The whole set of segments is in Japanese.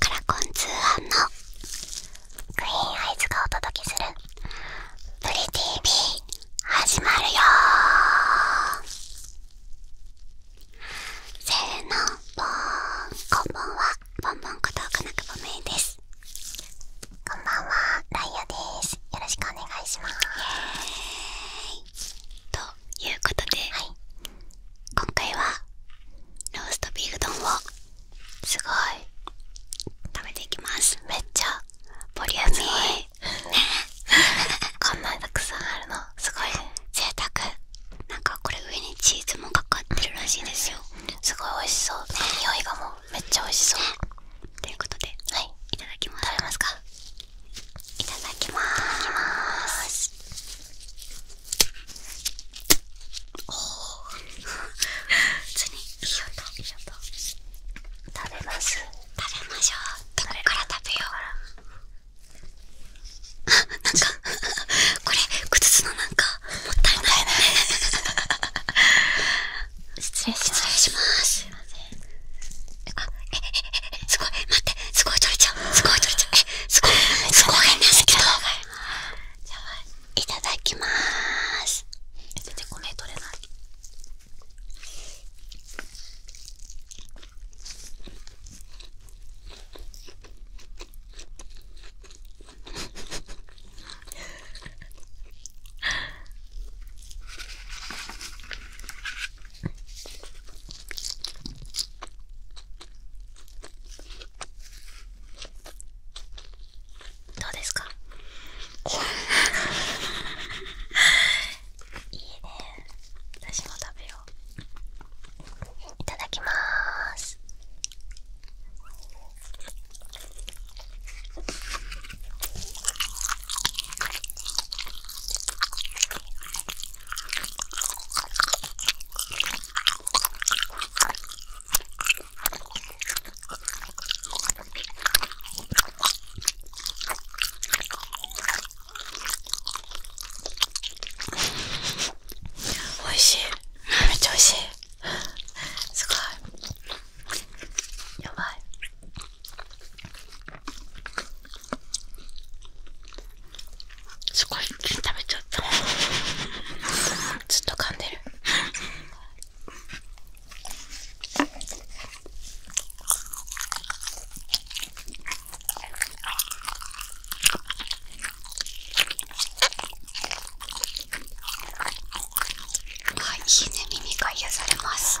カラコン通販のクイーンアイズがお届けする「プリ TV」始まるよーせーのボーンこんばんはボンボンことかなくぼめいですこんばんはライアですよろしくお願いしますということで、今回はローストビーフ丼をすごい食べていきますめっちゃボリューミ こんなにたくさんあるのすごい贅沢なんかこれ上にチーズもかかってるらしいですよすごい美味しそう匂いがもうめっちゃ美味しそう、ということで、はい、いただきますかいただきますおおつにいい音いい音食べます食べましょうどこから食べようなんかこれ靴のなんかもったいない失礼しますすいませんあ、え、え、え、すごい、待って、すごい取れちゃう、すごい取れちゃう、え、すごい、すごいんですけど。いただきまーす。え、全然これ取れない。どうですかいいね私も食べよういただきまーすおいしいめっちゃおいしいすごいやばいすごい食べちゃったずっと噛んでるはいいいね耳が癒されます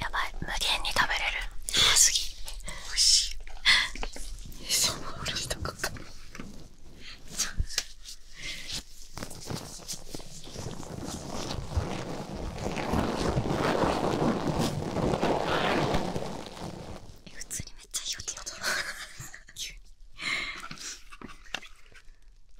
やばい無限に食べれる早すぎおいしいそのおろしとこか普通にめっちゃいい音だな急に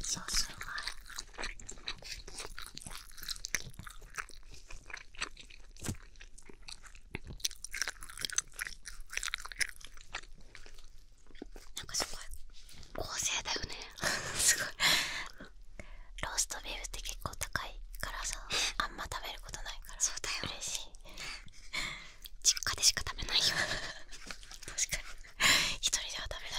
そうするわなんかすごい合成だよね すごいローストビーフって結構高いからさあんま食べることないからそうだよ嬉しい 実家でしか食べないよ 確かに 一人では食べない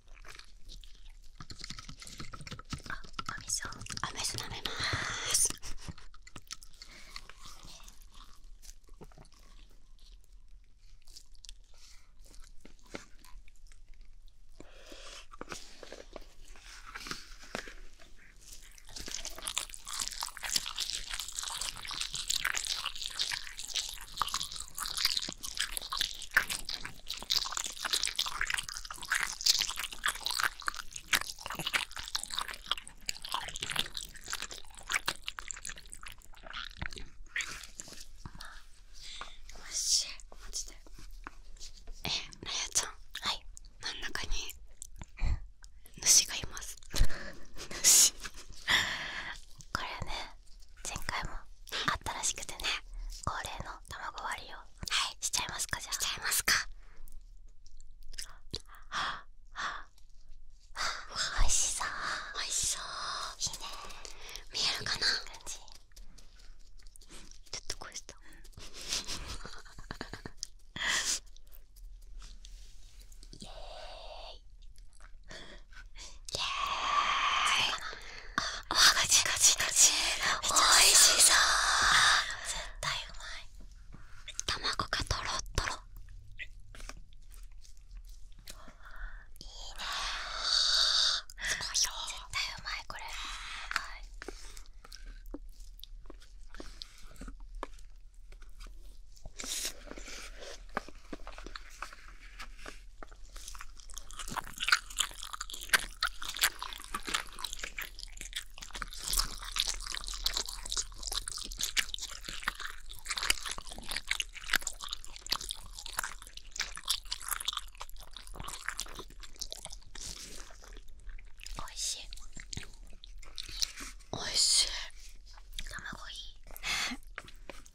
お水をお水舐めまーすおいしいマジでえなやちゃんはい真ん中に主がいます主これね前回もあったらしくてね恒例の卵割りをしちゃいますかじゃあしちゃいますかはあおいしそおいしそういいね見えるかな感じちょっとこうしたイエーイイエーあおはがちがちがちおいしそう絶対うまい卵がとろっとろいいねすご絶対うまいこれはいおいしいおいしい卵いい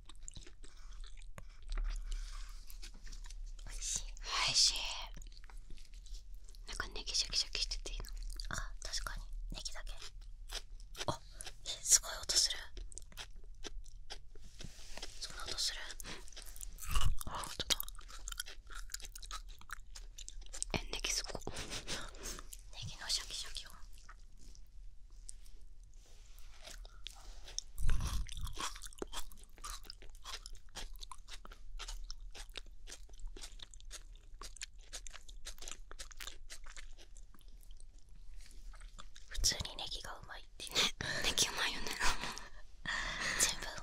おいしいおいしいなんかネギシャキシャキしてていいのあ確かにネギだけあすごい音するそんな音するあ本当だえネギすごいネギのシャキシャキを普通にネギがうまいってねネうまいよね自分は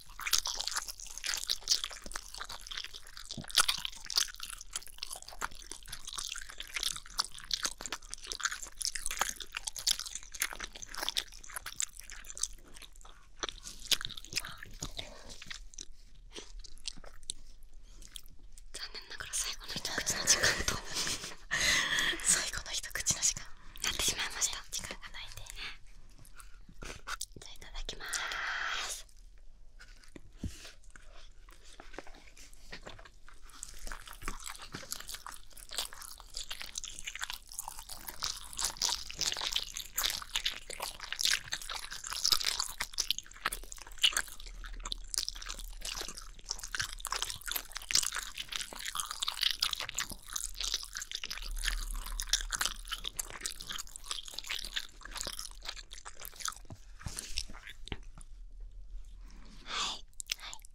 残念ながら最後の一口の時間と 最後の一口の時間なってしまいました時がないでじゃあいただきますはい、はい、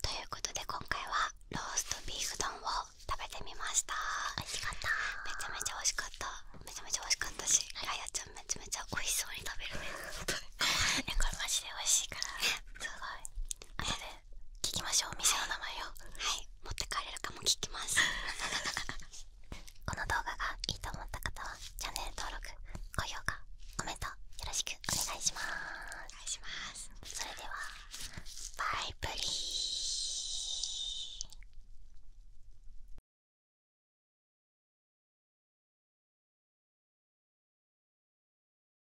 ということで今回はローストビーフ丼を食べてみました美味しかっためちゃめちゃ美味しかっためちゃめちゃ美味しかったしライアちゃんめちゃめちゃ美味しそうに食べるね これマジで美味しいから すごいあとで聞きまあょうお店の名前をはい持って帰れるかも聞き この動画がいいと思った方はチャンネル登録高評価コメントよろしくお願いしますそれではバイブリ